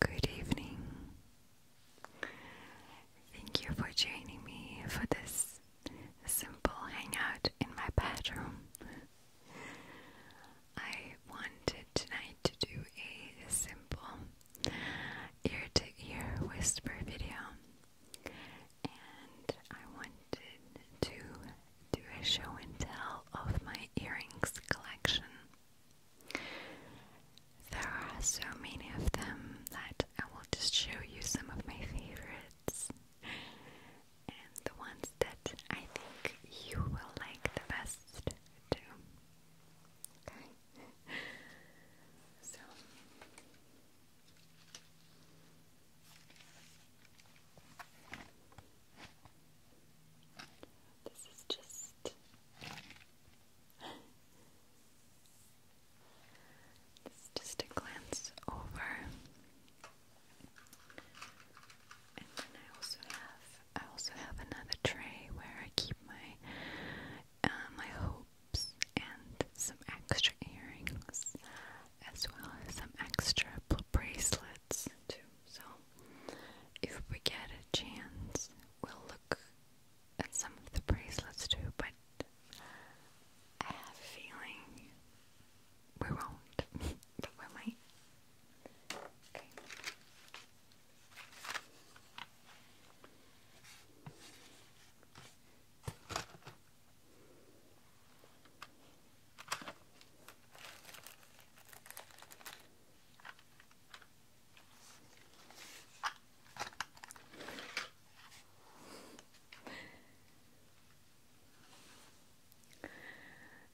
Good evening. Thank you for joining me for this simple hangout in my bedroom. I wanted tonight to do a simple ear to ear whisper video and I wanted to do a show and tell of my earrings collection. There are so many of them that I will just show you some of my favorites and the ones that I think you will like the best too. Okay. So this is just. just a glance over. And then I also have I also have another tray where I keep my uh, my hope and some extra earrings as well as some extra bracelets too. So if we get a chance, we'll look at some of the bracelets too, but I have a feeling we won't, but we might. Okay.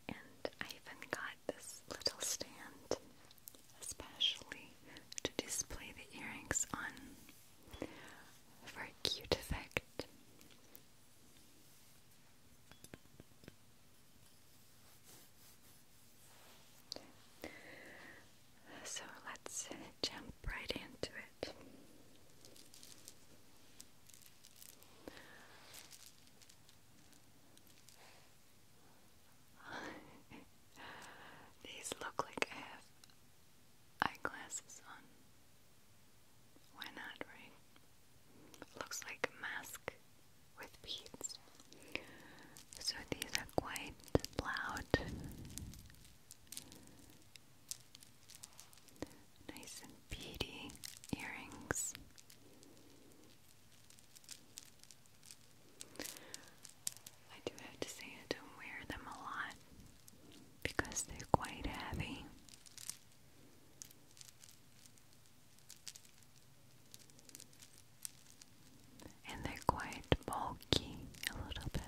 And I even got this little stand especially to display the earrings on for a cute effect. So let's jump right into it. These look like eyeglasses on. Why not, right? Looks like a mask with beads. So these are quite loud. Nice and beady earrings. I do have to say I don't wear them a lot because they're quite heavy. And they're quite bulky a little bit.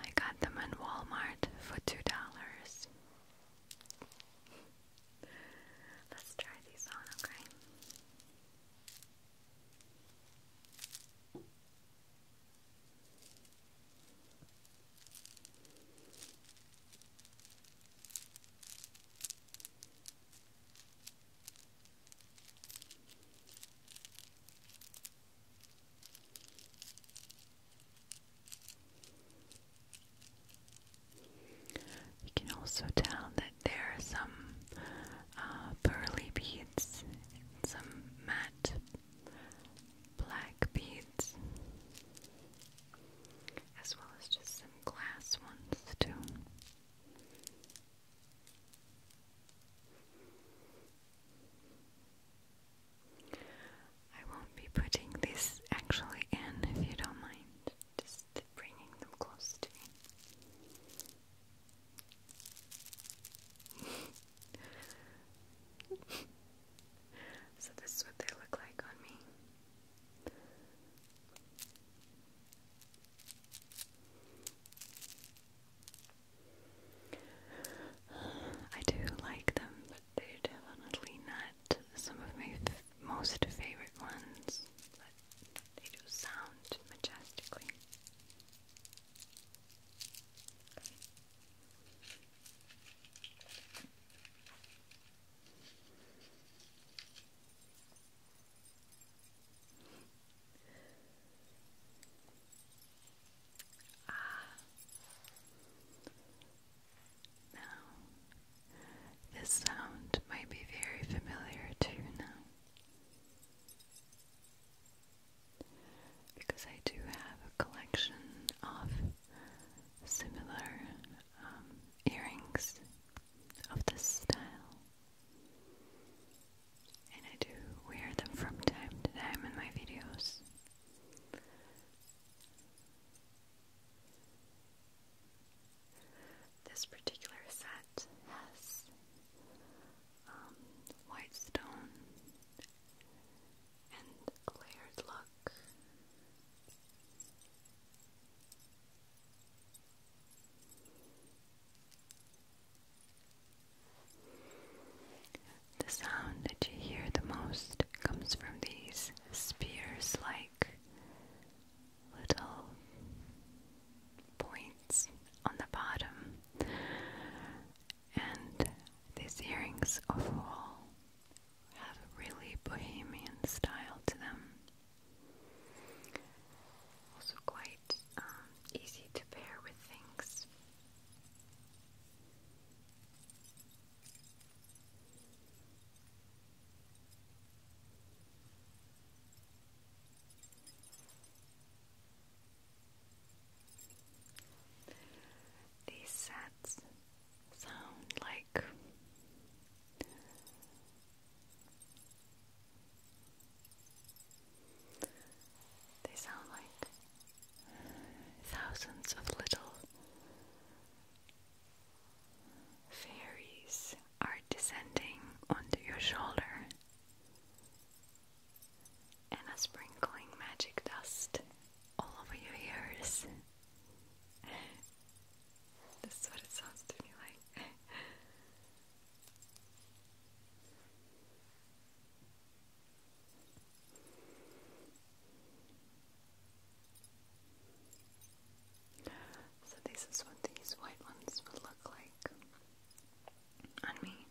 I got them in Walmart for two dollars. Let's try these on, okay? You can also tell that there are some uh, pearly beads some matte black beads, as well as just some glass ones, too. I won't be putting this actually in if you don't mind, just bringing them close to me. so, this is what they look like on me. I do like them, but they're definitely not some of my most favorite ones. But they do sound majestically. Ah. Now, this sound might be very familiar to you now. Because I do have a collection of similar um, earrings of this style. And I do wear them from time to time in my videos. This particular set has um, white stone and clear look. The sound that you hear the most comes from these spears like little points on the bottom and these earrings overall have a really bohemian style to them. Also quite um, easy to pair with things. These sets sound like they sound like thousands of little fairies are descending onto your shoulder and are sprinkling magic dust all over your ears. this what it sounds to me like. So this is what these white ones would look like on me.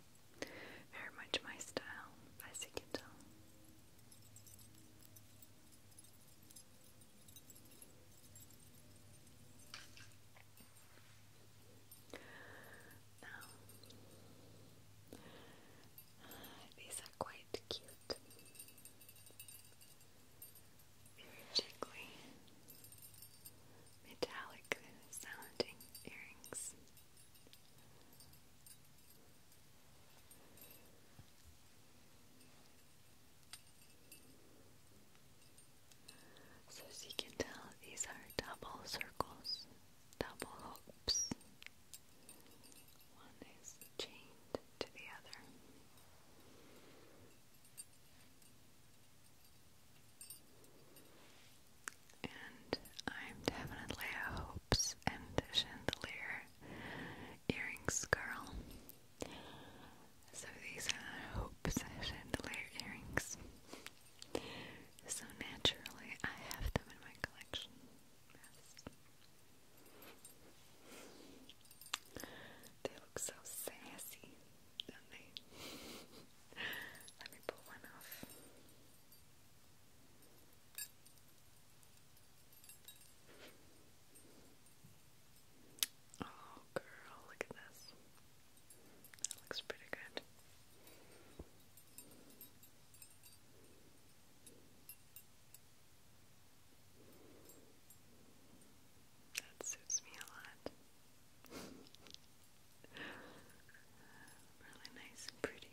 Very much my style, as uh, these are quite cute. Very metallic sounding earrings. So, as you can tell, these are double circles double hoops. One is chained to the other. And I'm definitely a hopes and chandelier earrings girl. So these are hopes and chandelier earrings. So naturally, I have them in my collection. They look so sassy, Let me pull one off. Oh, girl, look at this. That looks pretty good. That suits me a lot. really nice and pretty.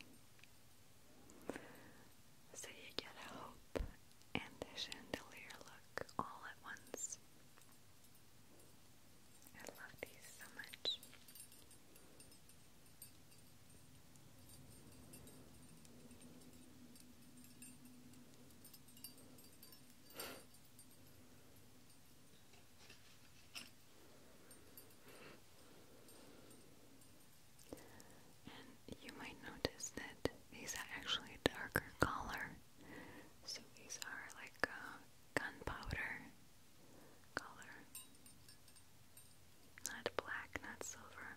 So you get hope and a chandelier look all at once. I love these so much. And you might notice that these are actually a darker color. So these are like uh, gunpowder color. Not black, not silver.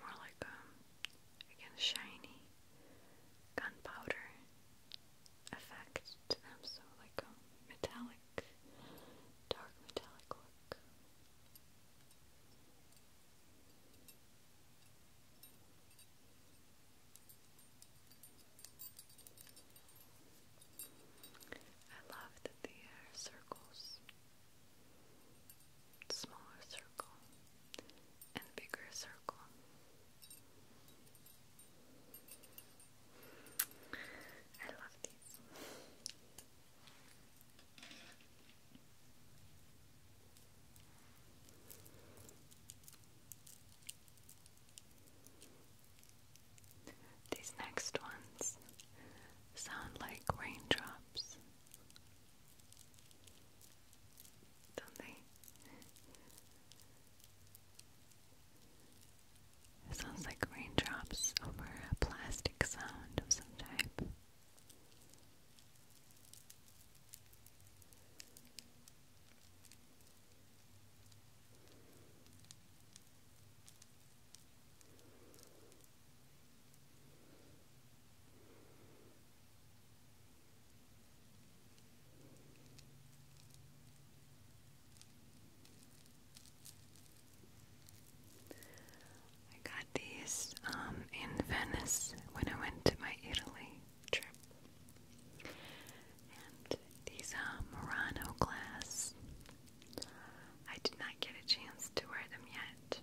More like um, again, shiny gunpowder effect so like a um, metallic, dark metallic look. I love that the air circles. Smaller circle and bigger circle. I love these. These next ones sound like raindrops, don't they? sounds like raindrops over a plastic sound of some type. I got these um, in Venice when I went to my Italy trip. And these are um, Murano glass. I did not get a chance to wear them yet.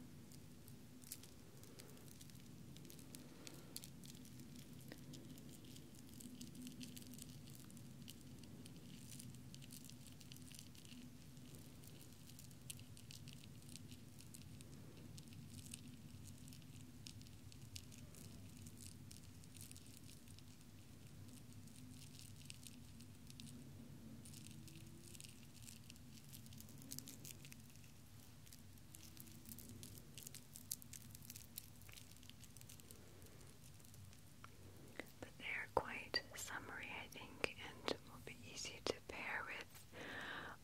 But they are quite summery, I think, and will be easy to pair with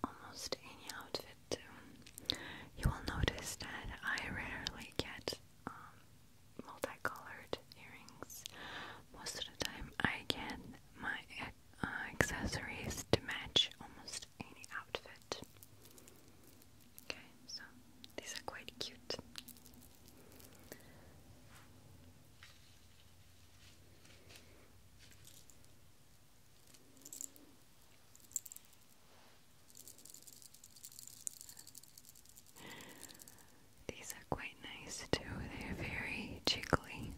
almost any outfit. You will notice that I rarely get um, multicolored earrings. Most of the time, I get my uh, accessories to match almost any outfit. Okay, so these are quite cute. These are quite nice too, they're very jiggly.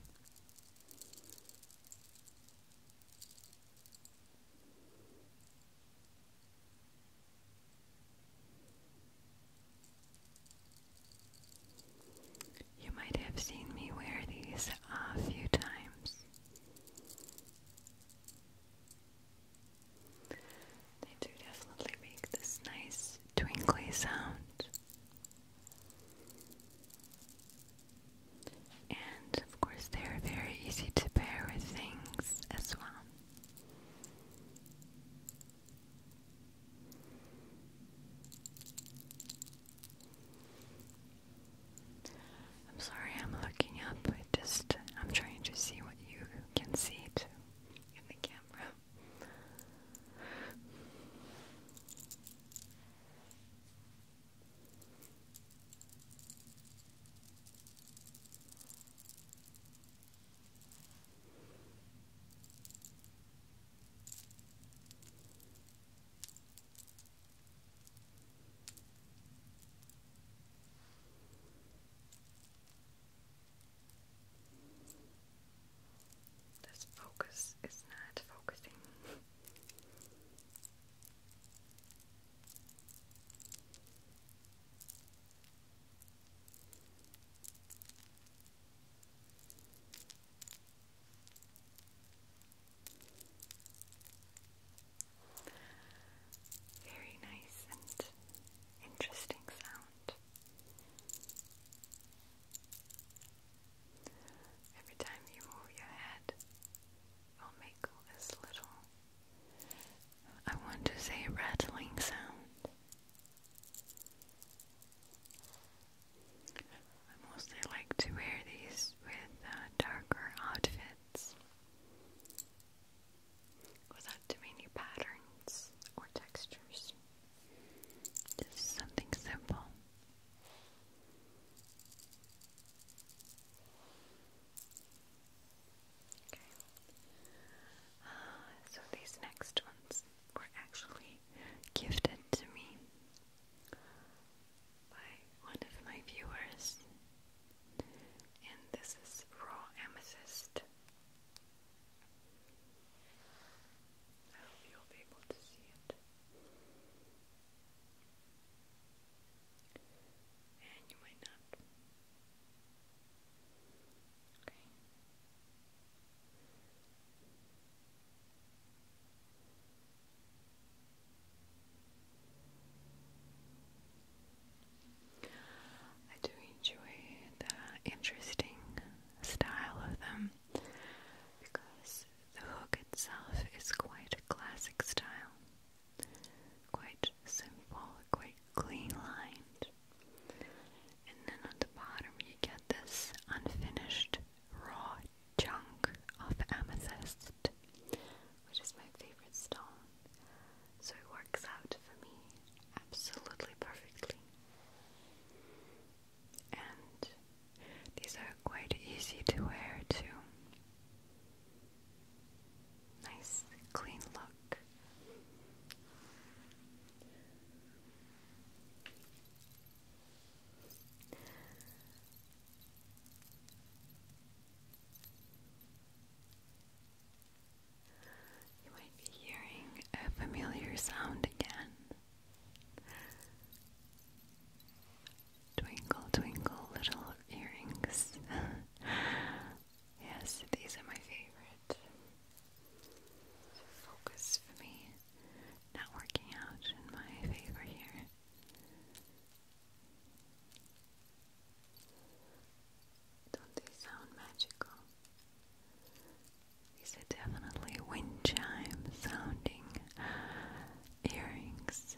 You might have seen me wear these a few times. They do definitely make this nice twinkly sound. And of course, they are very easy to pair with things as well. I'm sorry, I'm looking up. I just I'm trying to see what you can see it in the camera. This focus is not focusing. Very nice and interesting sound. Every time you move your head, it'll make this little, I want to say, rattling sound. I mostly like to wear these with uh, darker outfits without too many patterns or textures. Just something simple. Okay. so these next ones were actually gifted to me by one of my viewers and this is raw amethyst. I hope you'll be able to see it. And you might not. Okay. I do enjoy the interesting style of them because the hook itself is quite a classic style, quite simple, quite clean lined. And then on the bottom, you get this unfinished raw chunk of amethyst, which is my favorite stone so it works out for me absolutely perfectly. And these are quite easy to wear too. Nice clean look. You might be hearing a familiar sound again. Twinkle, twinkle, little earrings. yes, these are my favorite. Focus for me, not working out in my favor here. Don't they sound magical? These are definitely wind chime sounding earrings.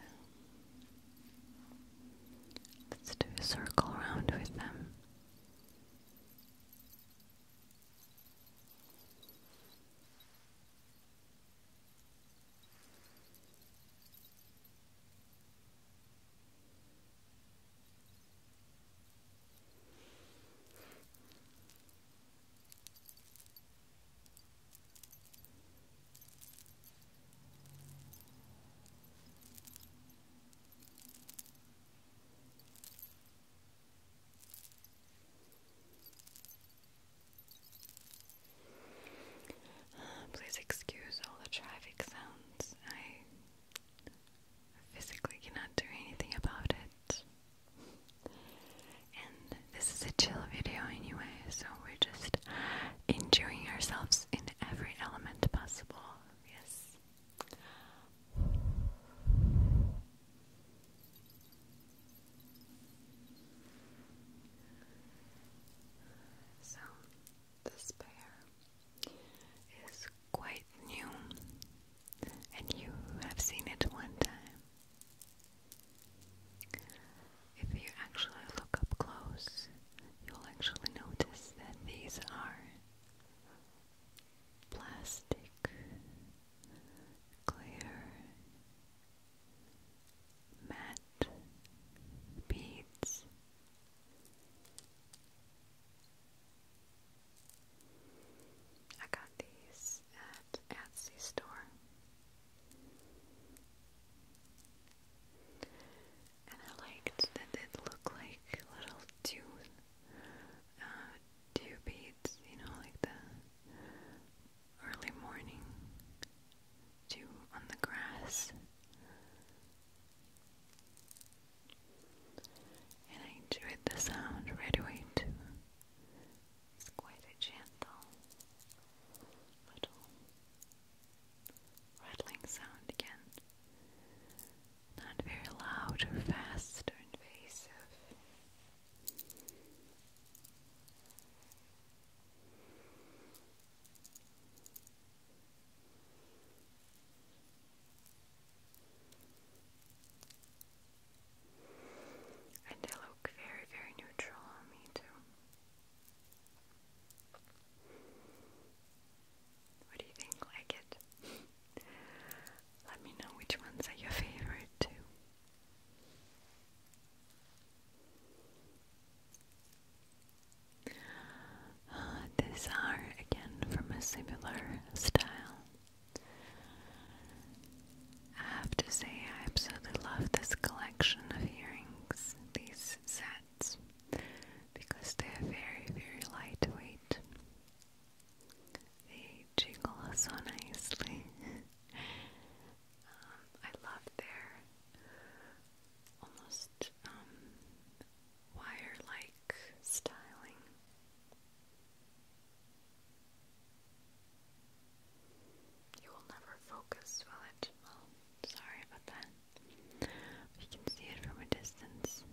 Let's do a circle around with them. Uh, please excuse all the traffic sounds. I physically cannot do anything about it. And this is a chill video anyway, so we're just enjoying ourselves in every element possible. Yes. So, this is quite new, and you have seen it one time. If you actually look up close, you'll actually notice that these are plastic, clear, matte beads. I got these at Etsy store. And I liked that it looked like little dew, uh, dew beads, you know, like the early morning dew on the grass and I enjoyed the sound right away too. It's quite a gentle little rattling sound again. Not very loud or fast or invasive. And they look very, very neutral on me, too. What do you think? Like it? Let me know which ones are your favorite, too. Uh, these are again from a similar style. I have to say, I absolutely love this collection of earrings, these sets, because they are very, very lightweight. They jingle so nicely. Um, I love their almost um, wire like styling. You will never focus, Well, sorry about that. You can see it from a distance.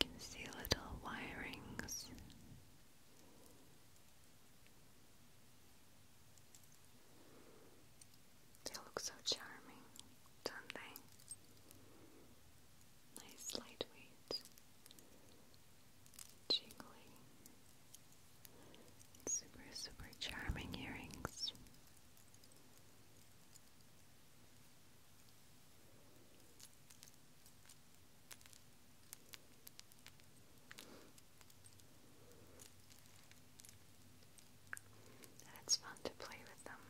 You can see little wirings. They look so charming, don't they? Nice lightweight, jiggly, super, super charming earrings. And it's fun to play with them.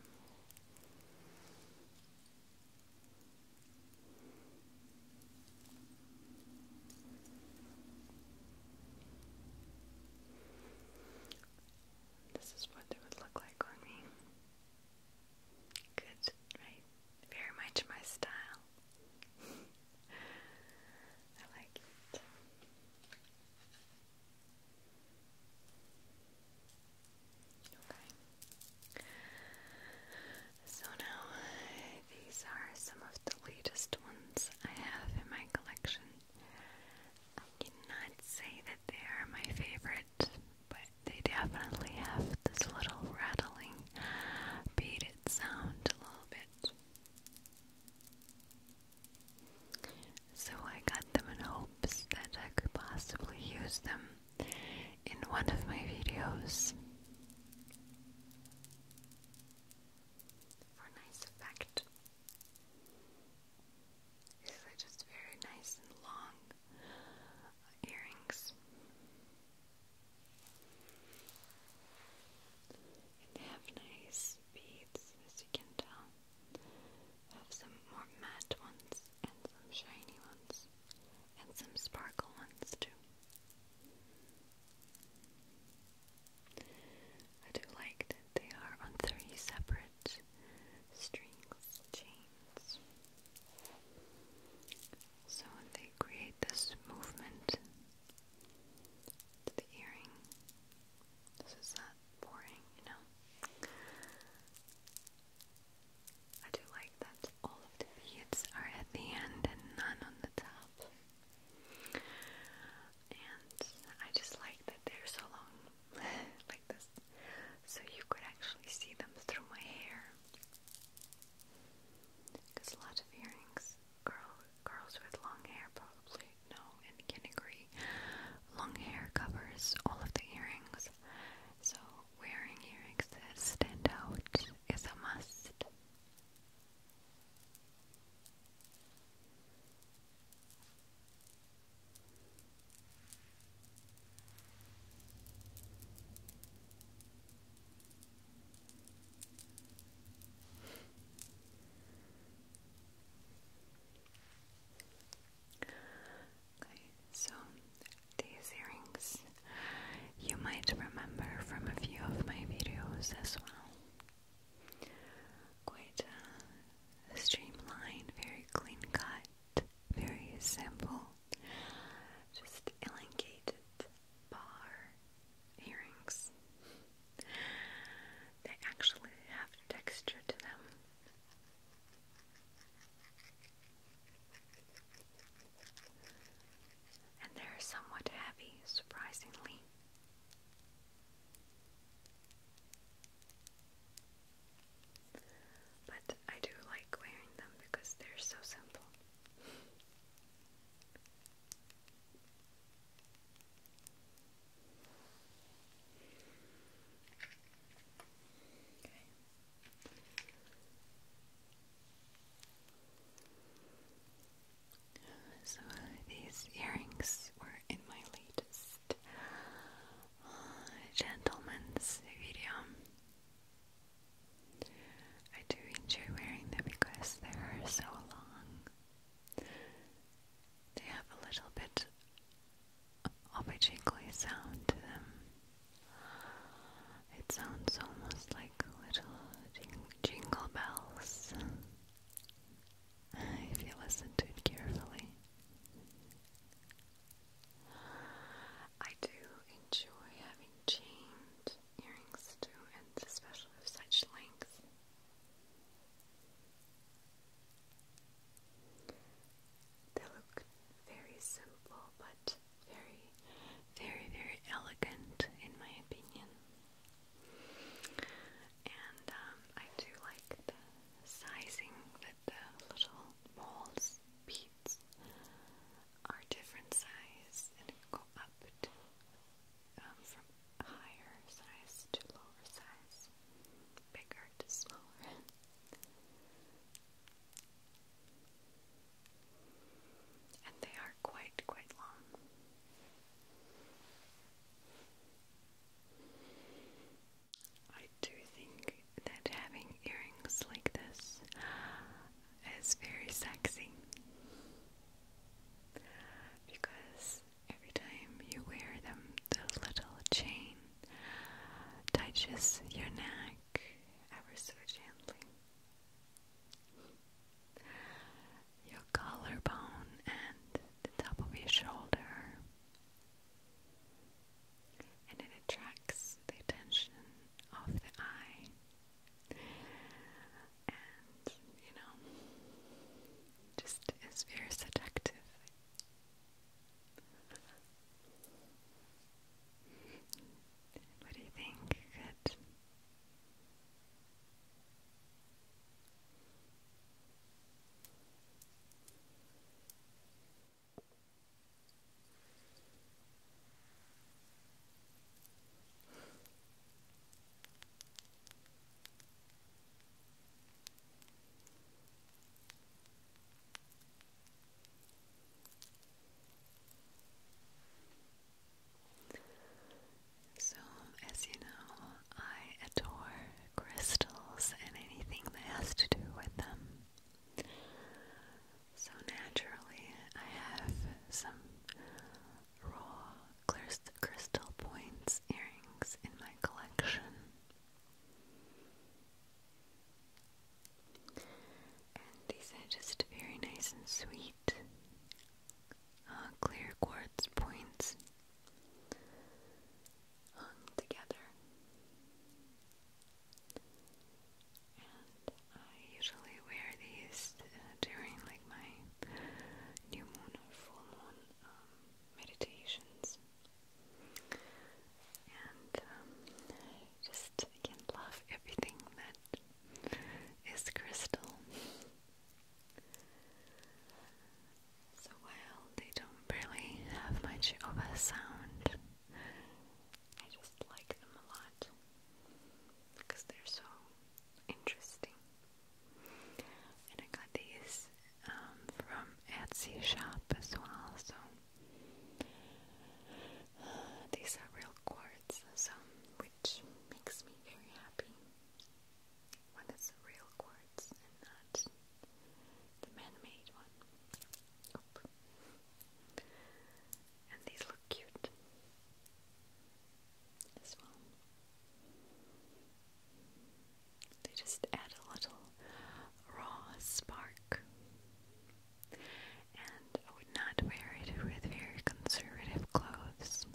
This is what it would look like on me. Good, right? Very much my style. I like it. Okay. So now these are some of the latest ones I have in my collection. I cannot say that they are my favorite, but they definitely have this little rattling, beaded sound a little bit. So I got them in hopes that I could possibly use them in one of my videos for nice effect. These are just very nice and long earrings. And they have nice beads, as you can tell. I have some more matte ones and some shiny ones and some sparkle ones too. I do like that they are on three separate strings, chains. So they create this movement to the earring this is that boring, you know? I do like that all of the beads are at the end and none on the top. And I just like that they're so long, like this, so you could actually see them through my hair. Because a lot of earrings, girl, girls with long hair probably know in Kinigri, long hair covers all of the earrings, so wearing earrings that stand out is a must so these earrings you might remember from a few of my videos as well. Quite streamlined, very clean cut, very simple, just elongated bar earrings. They actually have texture to them. And they're somewhat heavy, surprisingly. But I do like wearing them because they're so simple. Okay. So these earrings were in my latest uh, gentleman's video. I do enjoy wearing them because they are so long. They have a little bit obviously sound to them. It sounds almost like little jingle bells if you listen to it carefully. I do enjoy having chained earrings too, and especially of such length. They look very simple but very, very, very elegant in my opinion. And um, I do like the sizing that the little balls, beads are different size and go up um, from higher size to lower size, bigger smaller. and they are quite, quite long. I do think that having earrings like this is very sexy because every time you wear them, the little chain touches your neck ever so gently. Your collarbone and the top of your shoulder, and it attracts the attention of the eye. And you know, just is very seductive. What do you think? Good. So, as you know, I adore crystals and anything that has to do with them. So, naturally, I have some raw crystal points earrings in my collection. And these are just very nice and sweet uh, clear quartz points hung together. I usually wear these uh, during like my new moon or full moon um, meditations. And um, just again, love everything that is crystal. So while they don't really have much of a sound, I just like them a lot because they're so interesting. And I got these um, from Etsy shop as well. So these are real quartz, so which makes me very happy when it's real quartz and not the man-made one. And these look cute as well. They just add a little raw spark. And I would not wear it with very conservative clothes.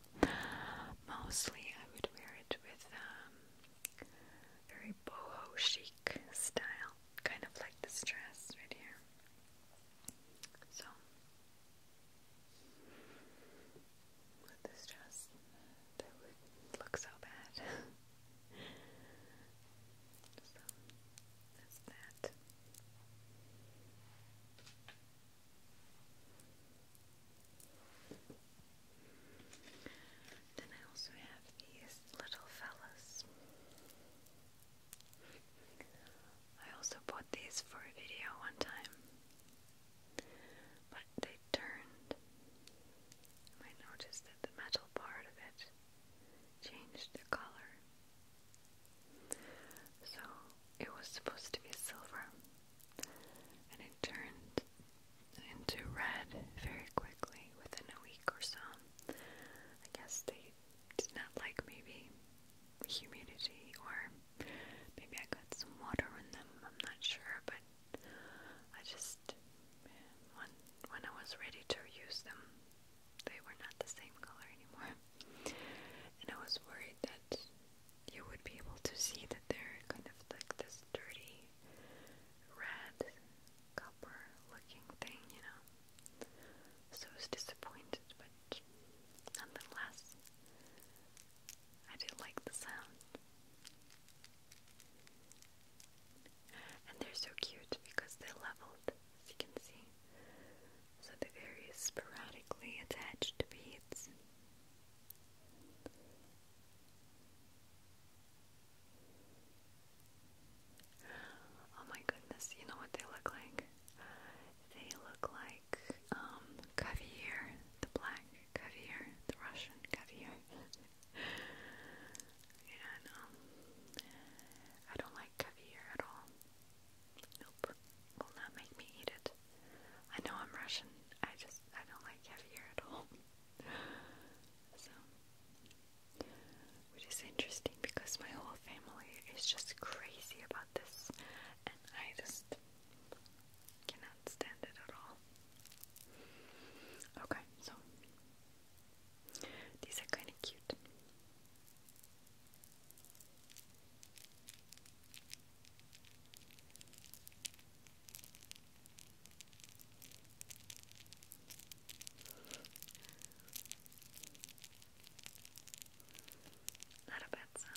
Mostly I would wear it with um, very boho chic style, kind of like this dress right here. So, with this dress, that would look so bad. so that. Then I also have these little fellas. I also bought these for a video one time but they turned. I noticed that the metal part of it changed the color. So it was supposed to be silver, and it turned into red very quickly within a week or so. I guess they did not like maybe humidity, or maybe I got some water in them, I'm not sure, but I just when when I was ready to use them, they were not the same color anymore, and I was worried that you would be able to see that they're kind of like this dirty red copper looking thing, you know. So I was disappointed, but nonetheless, I did like the sound. And they're so cute because they're leveled, as you can see. So the are very sporadically attached to beads. Oh my goodness, you know what they look like? They look like um, caviar, the black caviar, the Russian caviar and um, I don't like caviar at all. Nope, will not make me eat it. I know I'm Russian. I just I don't like caviar at all. so, which is interesting because my whole family is just crazy about this, and I just cannot stand it at all. Okay, so these are kind of cute. Not a bad sound.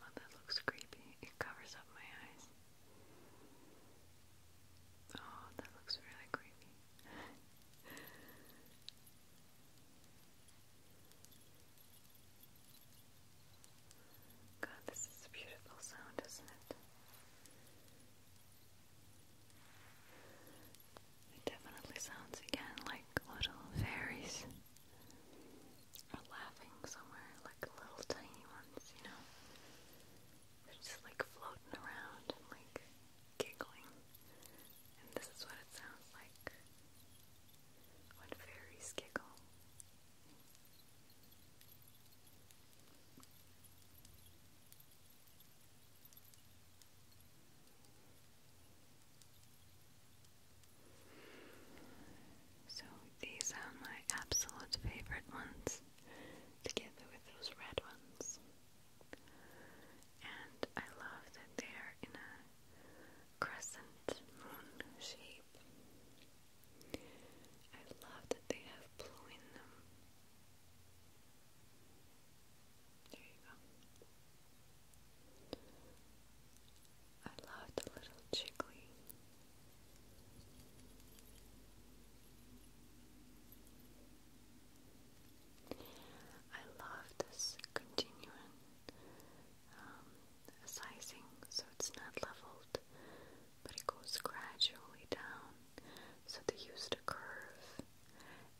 Oh, that looks creepy. It covers up my eyes. Oh, that looks really creepy. God, this is a beautiful sound, isn't it? It definitely sounds again like little fairies are laughing somewhere, like little tiny ones, you know? They're just like floating around and like giggling. And this is what it sounds like when fairies giggle. So these are my absolute favorite ones, together with those red ones. And I love that they're in a crescent moon shape. I love that they have blue in them. There you go. I love the little jiggly. I love this continuing um, sizing so it's not leveled, but it goes gradually down. So they used a curve,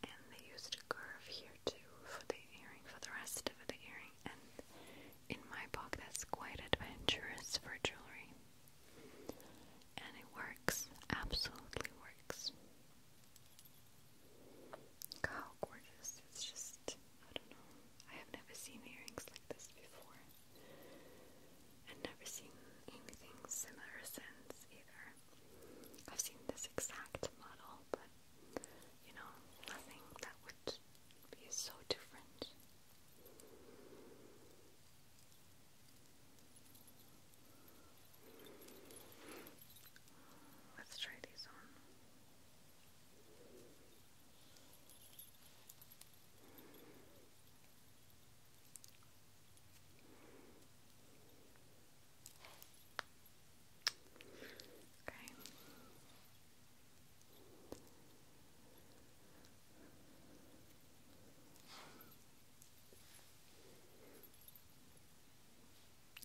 and they used a curve here too for the earring, for the rest of the earring. And in my book, that's quite adventurous for jewelry, and it works. Absolutely works. how gorgeous! It's just I don't know, I have never seen earrings like this before. And never seen anything similar since either. I've seen this exact model, but you know, nothing that would be so different. Let's try these on. Okay.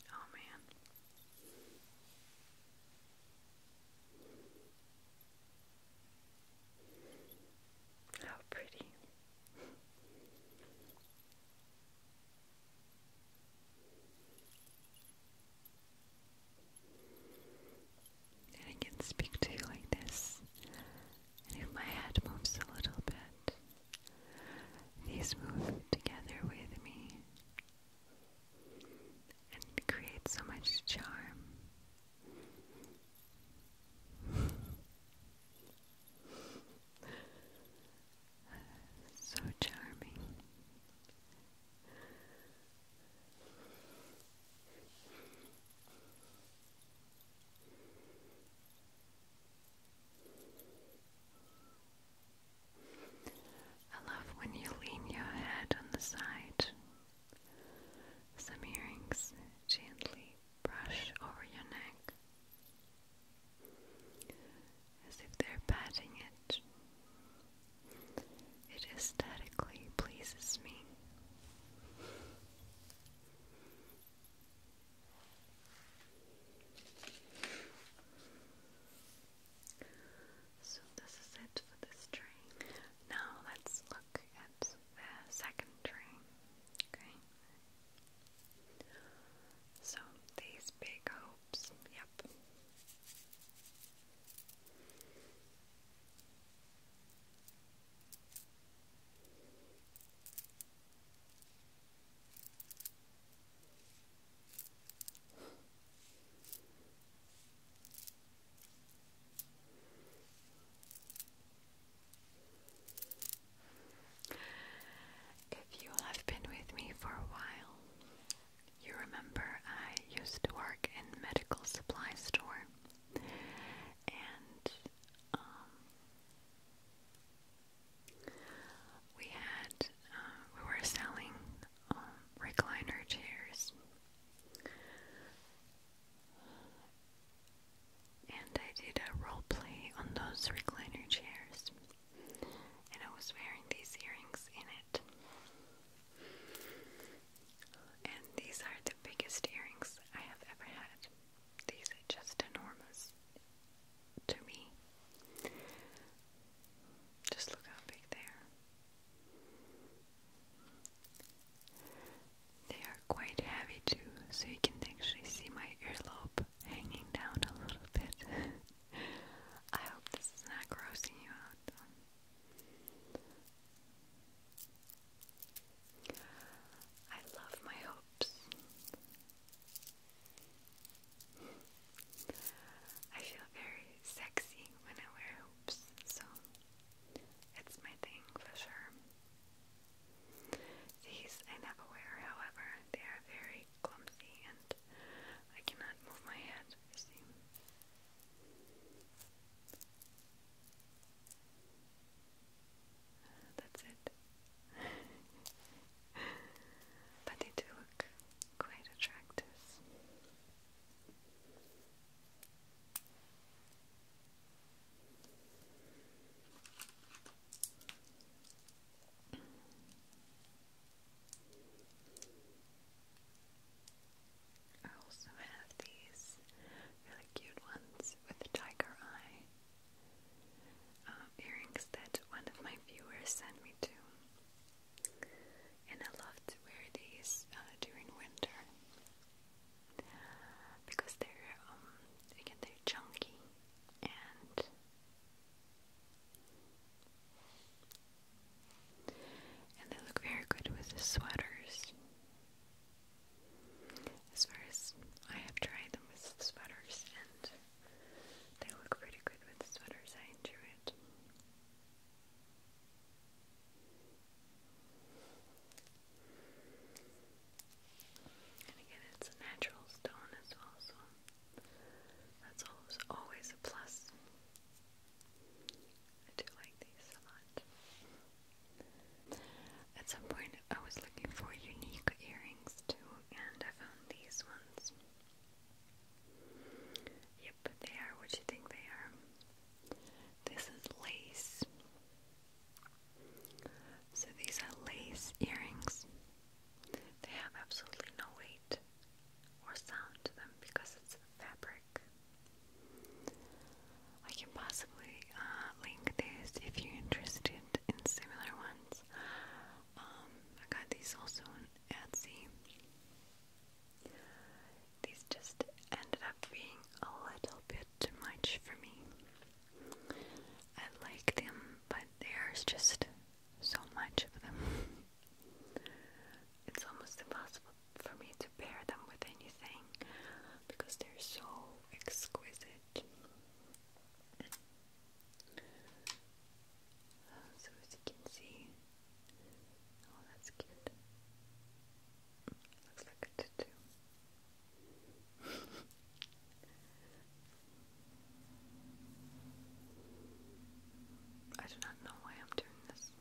Oh man. How pretty. And I can speak to you like this. And if my head moves a little bit, these move together with me and create so much charm. so charming. I love when you lean your head on the side. Some earrings gently brush over your neck as if they're patting it. It aesthetically pleases me. So this is it for this train. Now let's look at the second train. Okay. So these big hopes, yep. If you have been with me for a while, you remember I used to work in medical supply store and um, we had uh, we were selling um, recliner chairs. And I did a role play on those recliner chairs. And I was wearing these earrings in it. And these are the biggest earrings I have ever had. These are just enormous to me. Just look how big they are. They are quite heavy too, so you can actually see my earlobe hanging down a little bit. I hope this is not grossing you out. I love my hopes. I feel very sexy when I wear groups, so it's my thing for sure. These I never wear, however, they are very clumsy and I cannot move my head, you see. That's it. but they do look quite attractive. I also have these really cute ones with the tiger eye um, earrings that one of my viewers sent me to and I love to wear these uh, during winter because they're um, again they're chunky and they look very good with sweaters. As far as I have tried them with sweaters, and they look pretty good with sweaters. I enjoy it. And again, it's a natural stone as well, so that's always, a plus. I do like these a lot. At some point, I was looking for unique earrings too, and I found these ones. Yep, they are what you think they are. This is lace. So these are lace earrings. They have absolutely no weight or sound to them because it's fabric. I can possibly uh, link this if you're interested in similar ones. Um, I got these also on Etsy these just ended up being a little bit too much for me. I like them, but there's just so much of them. it's almost impossible for me to pair them with anything because they're so exquisite. So, as you can see, Oh, that's cute. Looks like a tutu. I do not know why I'm doing this.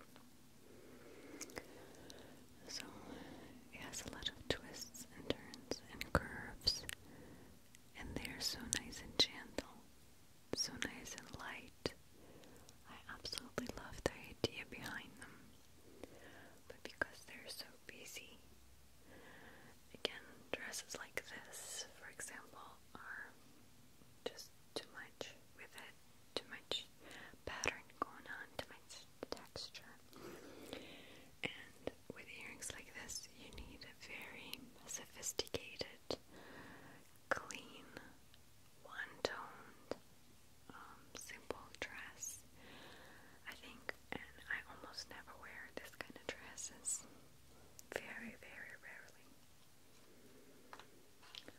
So, it has a lot of twists and turns and curves, and they are so nice and gentle, so nice and light. I absolutely love the idea behind them, but because they're so busy, again, dresses like this, for example, are just too much with it, too much pattern going on, too much texture. And with earrings like this, you need a very sophisticated clean, one-toned, um, simple dress. I think, and I almost never wear this kind of dresses. Very, very rarely.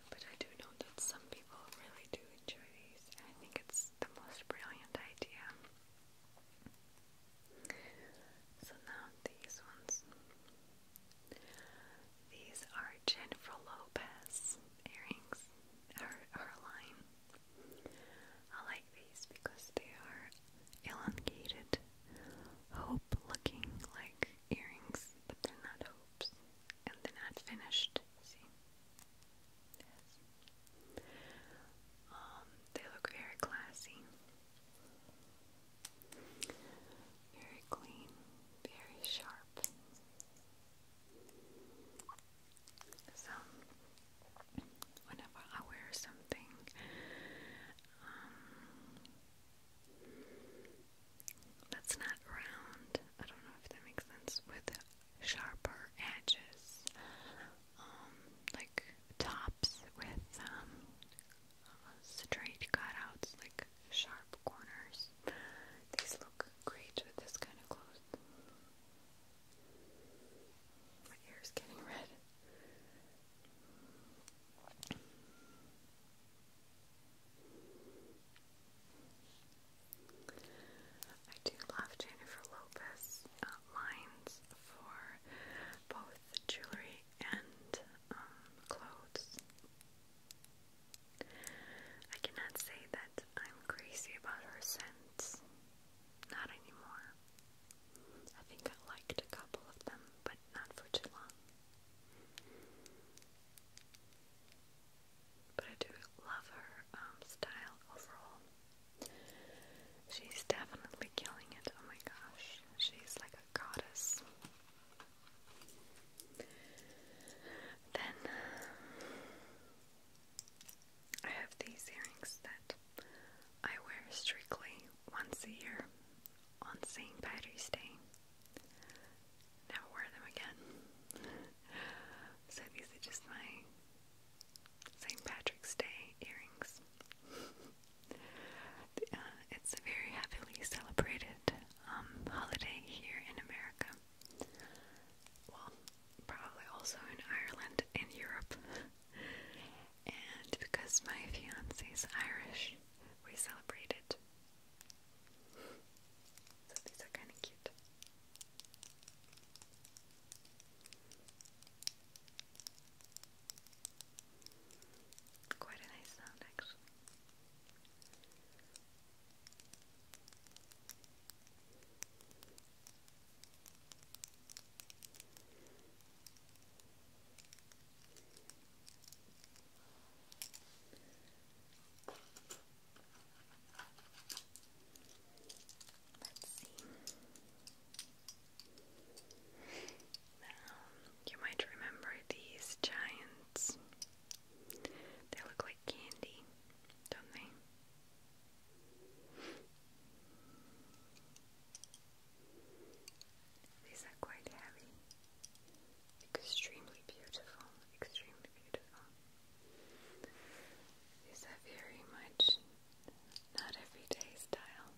But I do know that some people really do enjoy these, and I think it's the most brilliant idea. So now these ones. These are Jennifer Lopez earrings, or her line. I like these because they are elongated, hope-looking like earrings, but they're not hopes, and they're not finished. See? Yes. Um, they look very classy, very clean, very sharp. So, whenever I wear something, um, that's not round, I don't know if that makes sense, with sharper edges, um, like tops with um, straight cutouts, like sharp corners. These look great with this kind of clothes. My hair getting red. I do love Jennifer Lopez uh, lines for both jewelry and um, clothes. I cannot say that I'm crazy about her scents. Not anymore. I think I liked a couple of them, but not for too long. But I do love her um, style overall. She's definitely killing it. Oh my gosh. She's like a goddess. Then uh, I have these earrings that I wear strictly once a year on St. Patrick's Day. Never wear them again. so these are just my St. Patrick's Day earrings. Uh, it's a very heavily celebrated um, holiday here in America well, probably also in Ireland and Europe. and because my fiance is Irish, we celebrate it. So these are kind of cute. Quite a nice sound, actually. Let's see. Um, you might remember these giants they look like candy, don't they? These are quite heavy. Extremely beautiful, extremely beautiful. These are very much not everyday style.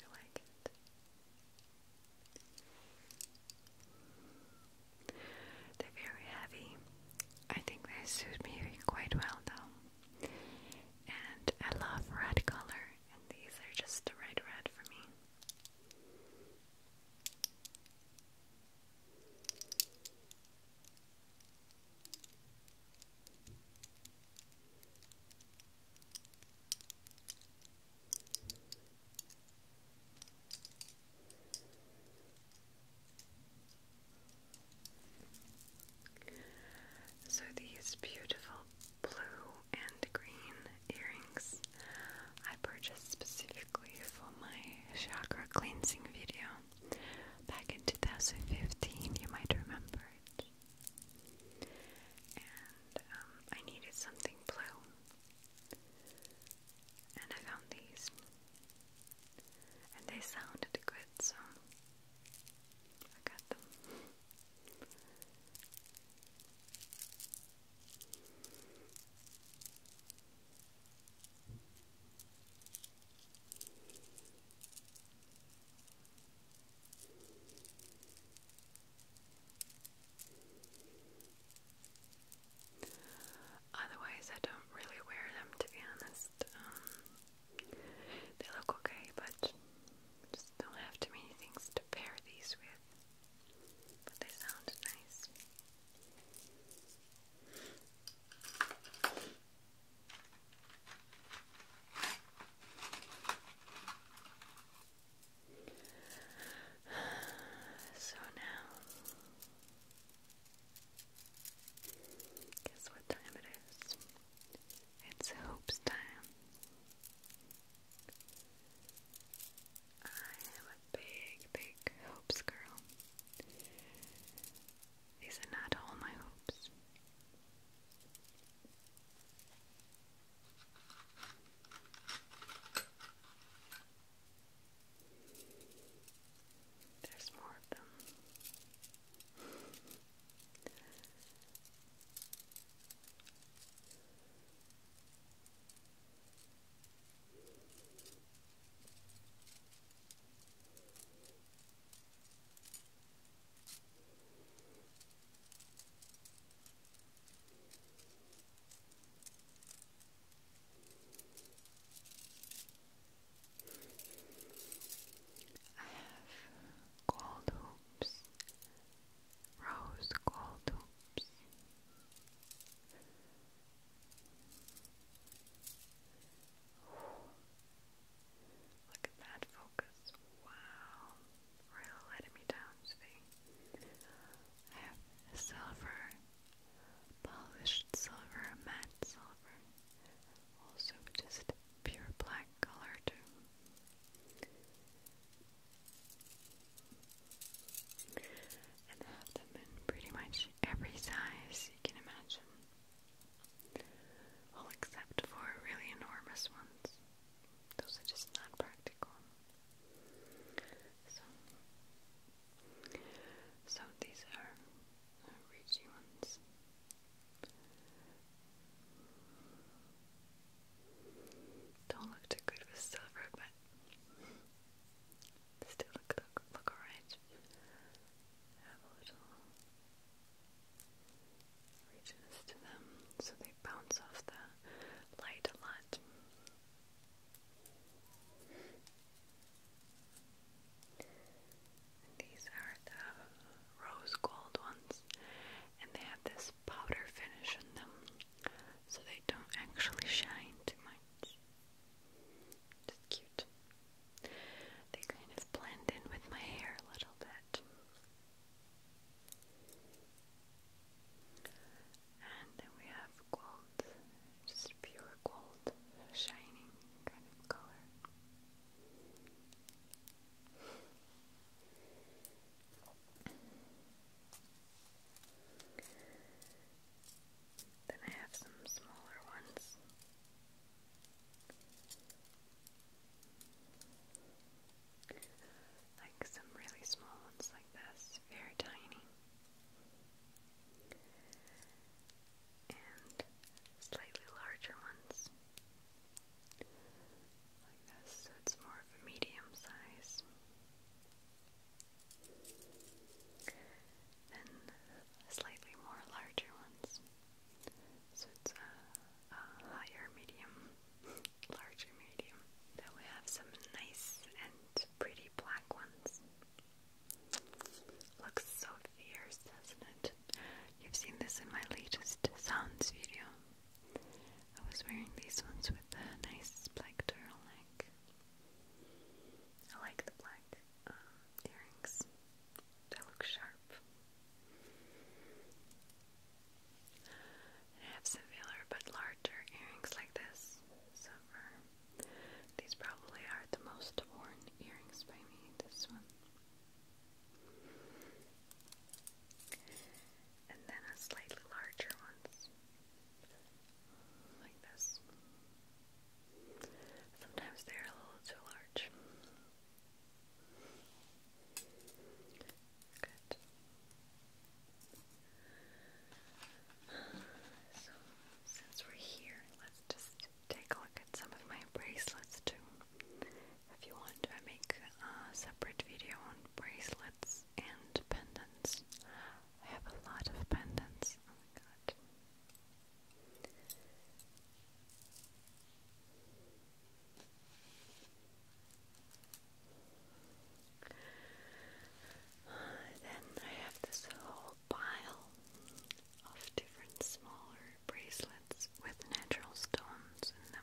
You like it? They're very heavy. I think they suit me quite well though. And I love red color, and these are just the right red for me. So, these beautiful blue and green earrings I purchased specifically for my chakra cleansing video back in 2015, you might remember And um, I needed something blue, and I found these, and they sounded good, so I got them. Otherwise, I don't really wear them to be honest. Um, they look okay, but just don't have too many things to pair these with. But they sound nice. So now, guess what time it is? It's hopes time. I am a big, big hopes girl. These are not all my hopes. There's more of them. I have gold hoops, rose gold hoops. Look at that focus. Wow. Really letting me down I have silver, polished silver, matte silver. Also just pure black color And have them in pretty much every size you can imagine. All except for really enormous ones. Those are just not practical. So, these are uh, ones. Don't look too good with silver, but still look look, look alright. Have a little reaches to them so they bounce off the light a lot. these are the rose gold ones, and they have this powder finish on them, so they don't actually shine too much. Just cute. They kind of blend in with my hair a little bit. And then we have gold, just pure gold, shining kind of color. Then I have some smaller ones. Like some really small ones like this, very tiny. And slightly larger ones like this, so it's more of a medium size. Then slightly more larger ones. So it's a, a higher medium, larger medium. Then we have some nice and pretty black ones. Looks so fierce, doesn't it? You've seen this in my latest sounds video. I was wearing these ones with a nice black turtleneck. I like the black um, earrings. They look sharp. I have similar but larger earrings like this. So these probably are the most worn earrings by me. This one. And then a slightly larger ones. Like this. Sometimes they're a little too large. Good. So, since we're here, let's just take a look at some of my bracelets too. If you want, I make a separate video on bracelets and pendants. I have a lot of pendants. Oh my god. Then I have this whole pile of different smaller bracelets with natural stones in them.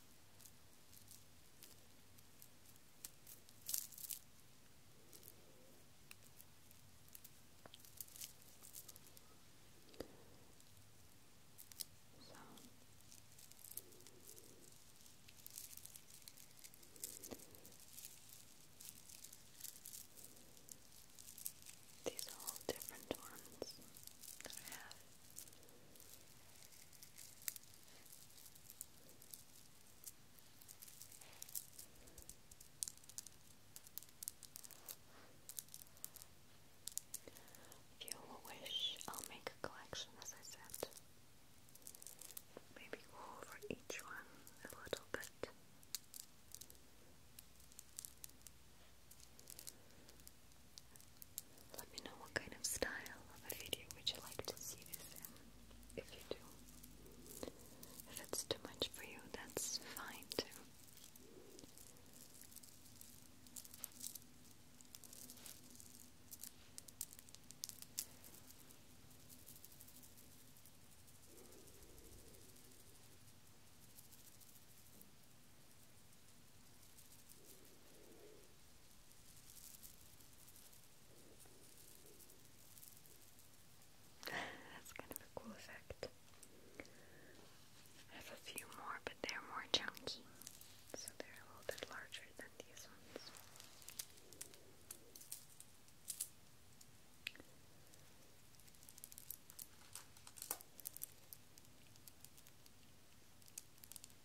So these are all different ones if you wish, I'll make a collection as I said. Maybe go over each one a little bit. Let me know what kind of style of video would you like to see this in, if you do. If it's too much for you, that's fine too. That's kind of a cool effect. I have a few more, but they're more chunky, so they're a little bit larger than these ones.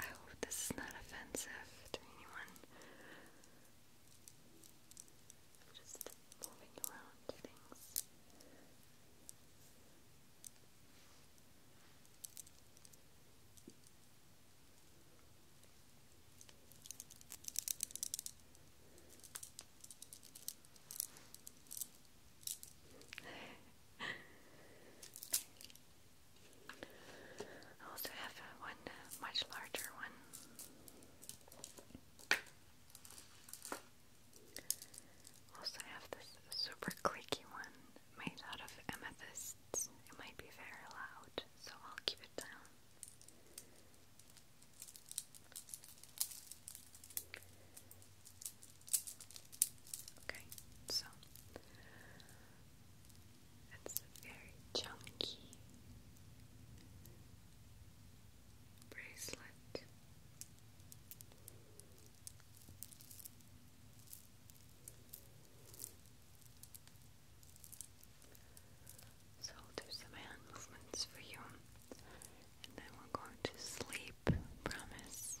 I oh, hope this is not offensive to anyone. just moving around things. I also have uh, one much larger one. Also have this super clicky one made out of amethysts. It might be very loud, so I'll keep it down. Okay, so it's a very chunky bracelet. So I'll do some hand movements for you. And then we're going to sleep, promise.